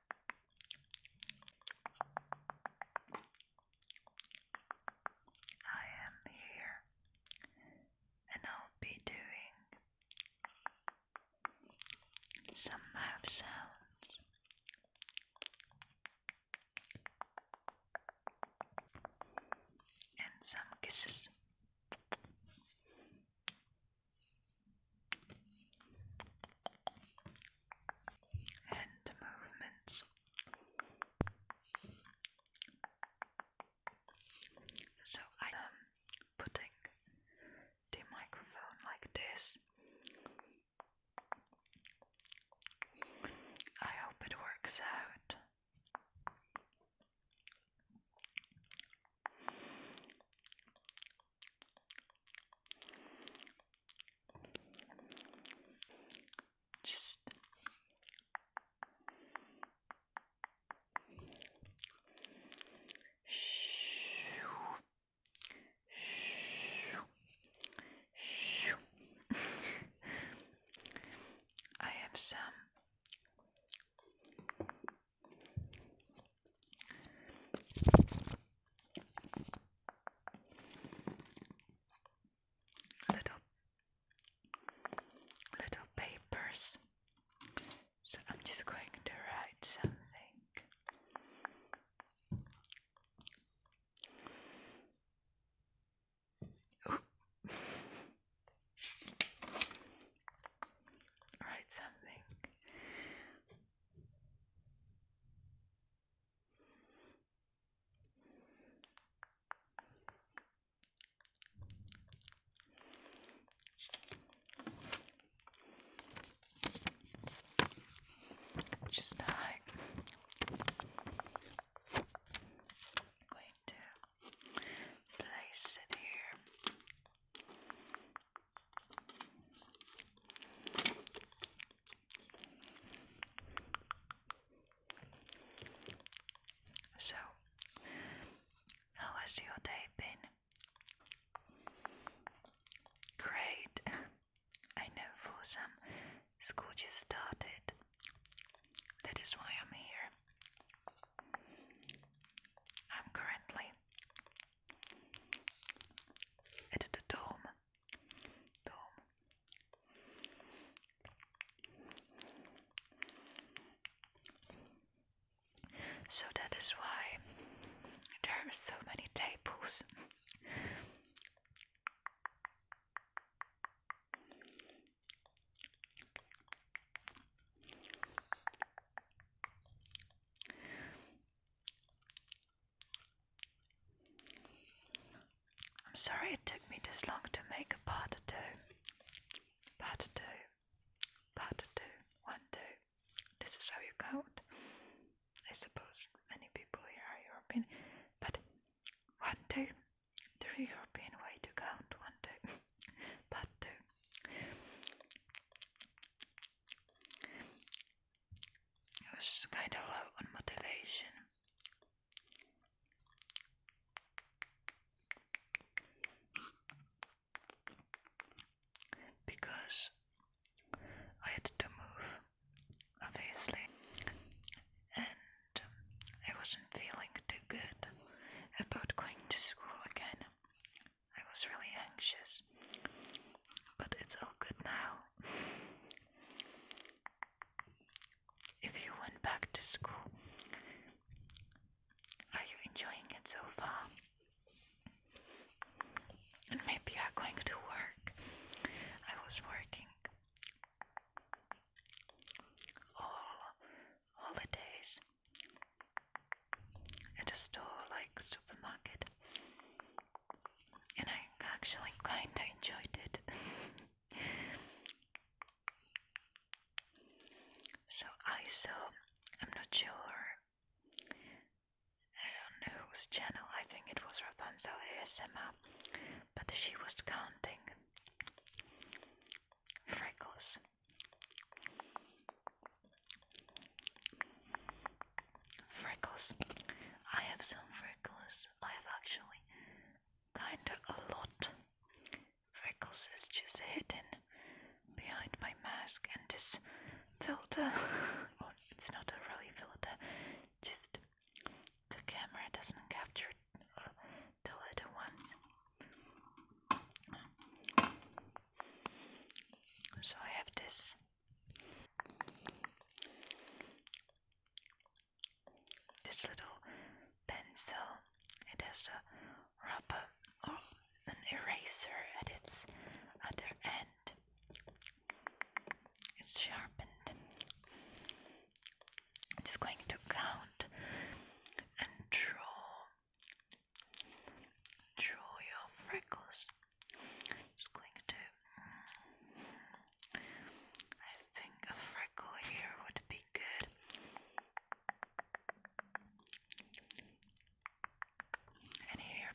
I am here, and I'll be doing some mouth sounds. And some kisses hand movements. So I am putting the microphone like this. I hope it works out. Just I have some little little papers. So I'm just going to write something. write something just not going to place it here. So, how has your day been? Great. I know for some school just started. That is why I'm here. I'm currently is het de dom? So that is why there are so many tables. I'm sorry it took me this long to make a part two. Part two. Part two. One, two. This is how you count. I suppose many people here are European, but one, two. The European way to count. One, two. part two. It was kind of low on motivation. Because I had to move, obviously, and I wasn't feeling too good about going to school again. I was really anxious, but it's all good now. If you went back to school, are you enjoying it so far? And maybe you're going to work. I was working all holidays at a store like supermarket and I actually kinda enjoyed it. so I saw, I'm not sure, I don't know whose channel, I think it was Rapunzel ASMR, but she was counting freckles Freckles. I have some freckles. I have actually kinda a lot. Freckles is just hidden behind my mask and this filter. it's not a really filter, just the camera doesn't capture the little ones. So I have this. This little pencil, it has a rubber or oh, an eraser at its other end. It's sharpened. I'm just going to count and draw draw your freckles. I'm just going to. I think a freckle here would be good. And here.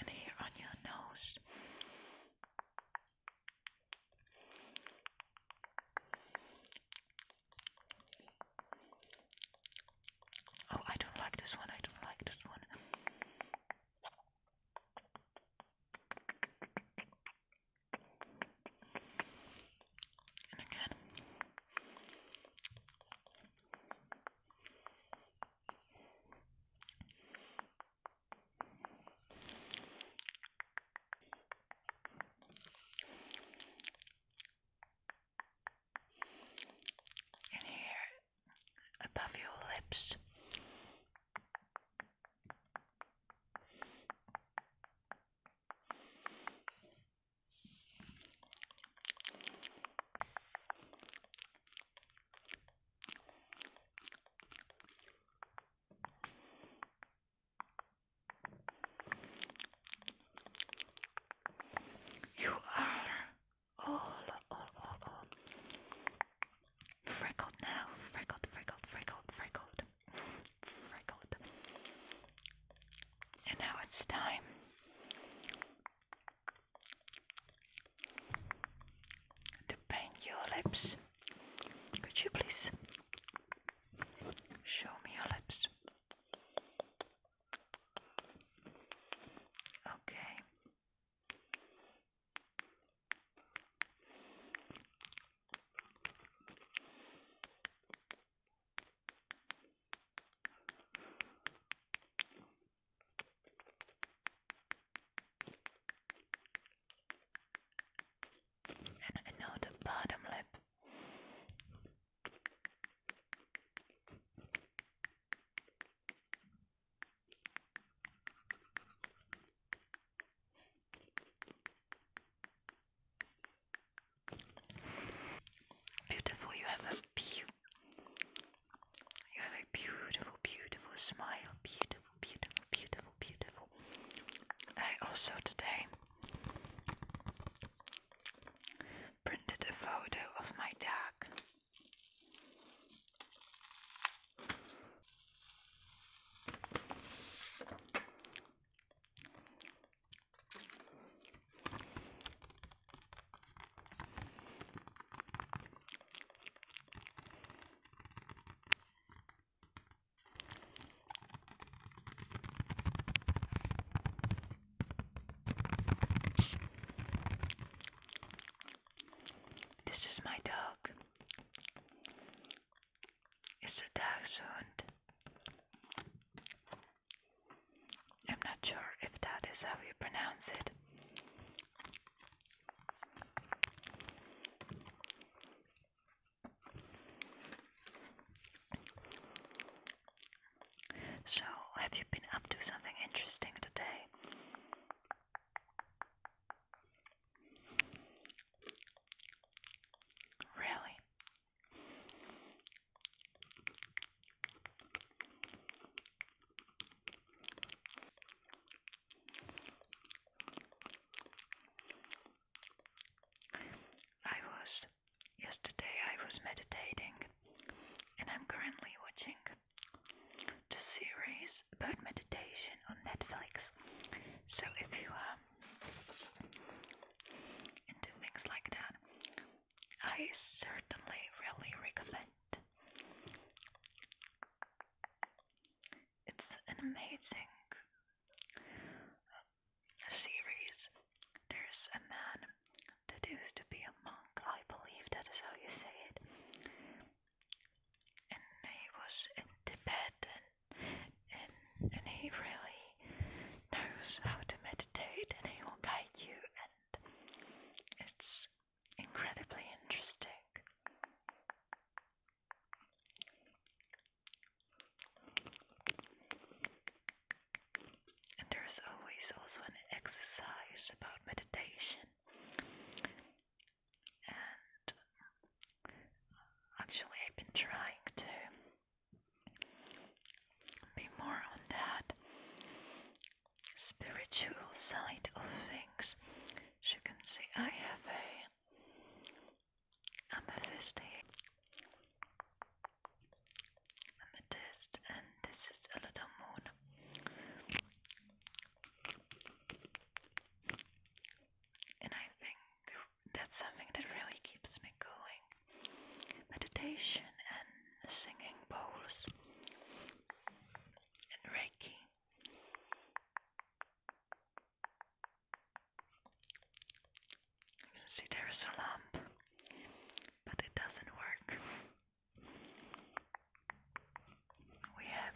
And here on your nose. Oh, I don't like this one. I don't like this one. And again. And here above your lips. You are all, all, all, all freckled now. Freckled, freckled, freckled, freckled, freckled. And now it's time. To paint your lips could you please show me your lips? Okay. And now the bottom lip. Beautiful, you have a beautiful, beautiful, beautiful smile, beautiful beautiful, beautiful, beautiful. I also today printed a photo of my dog. This is my dog. It's a dachshund. I'm not sure if that is how you pronounce it. So, have you been up to something interesting today? Really? I was yesterday I was meditating and I'm currently watching the series about meditation on Netflix. So if you are into things like that, I certainly really recommend it's an amazing series. There's a man that used to be a monk, I believe that is how you say it. And he was in Tibet and, and he really knows how to meditate and he will guide you and it's incredibly interesting. And there is always also an exercise about meditation. And uh, actually, I've been trying to be more on that spiritual side of things. As you can see, I have a amethyst amethyst, and this is a little moon. And I think that's something that really keeps me going. Meditation and singing bowls and Reiki. You can see there is a lamp, but it doesn't work. We have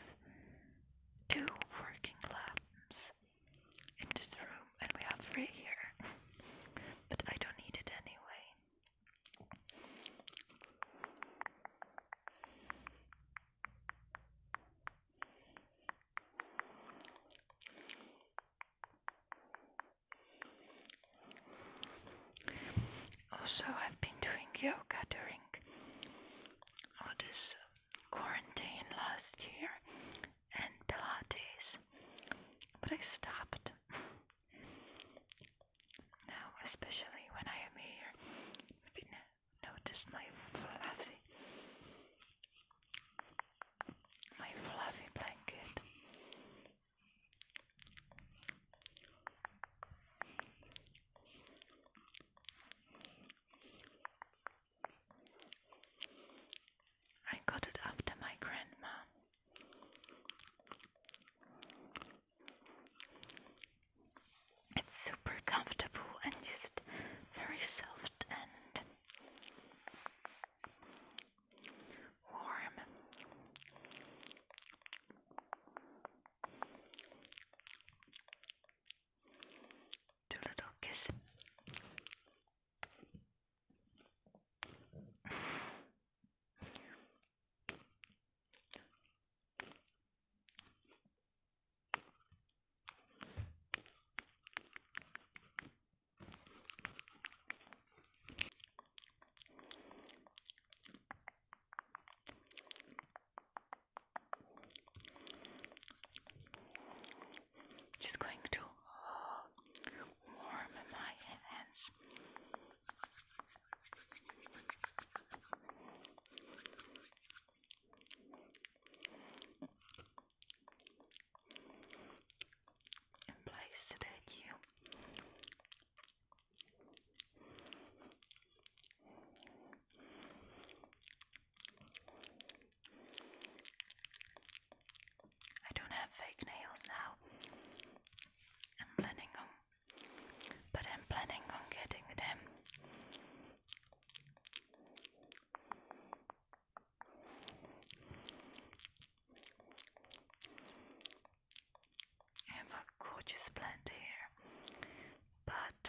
two working lamps in this room, and we have three here, but I don't need it anyway. Also, I've been doing yoga during all this um, quarantine last year and Pilates, but I stopped. Now, especially when I am here, maybe notice my fluffy, my fluffy blanket. I got it after my grandma. It's super comfortable and just very soft and warm. Two little kisses. Just going to warm my hands in place that you I don't have fake nails now. I'm planning on, but I'm planning on getting them. I have a gorgeous plant here, but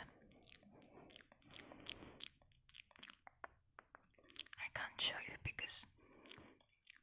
I can't show you because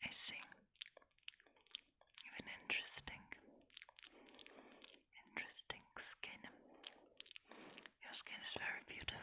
I see. Even interesting interesting skin. Your skin is very beautiful.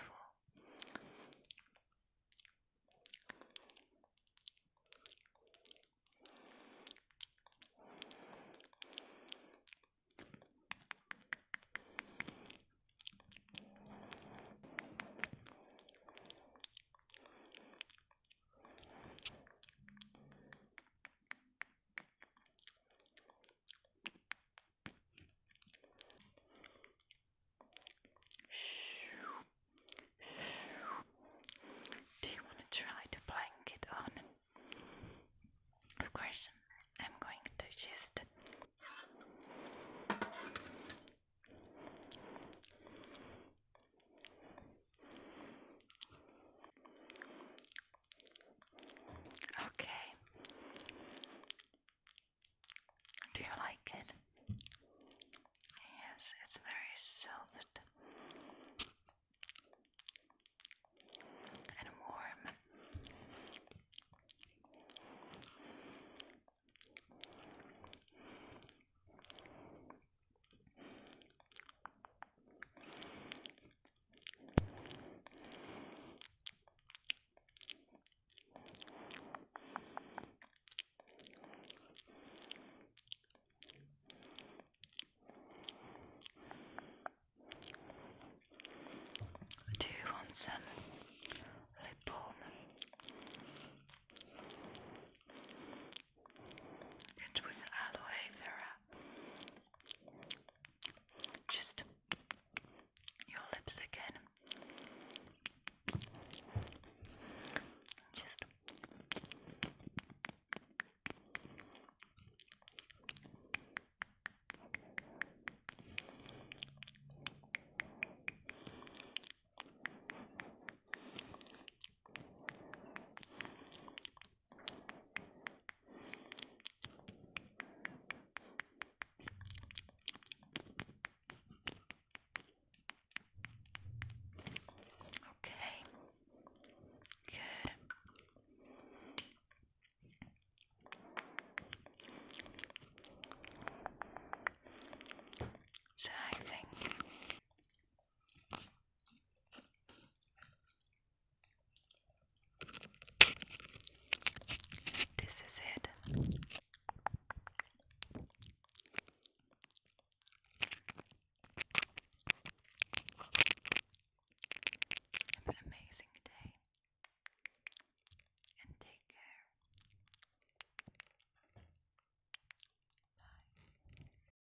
Do you want to try the blanket on? Of course, I'm going to just Okay. Do you like it? Yes, it's very silvered and warm. Do you want some lip balm? It was aloe vera. Just your lips again. Just Okay. Good. So I think this is it. Have an amazing day and take care. Bye.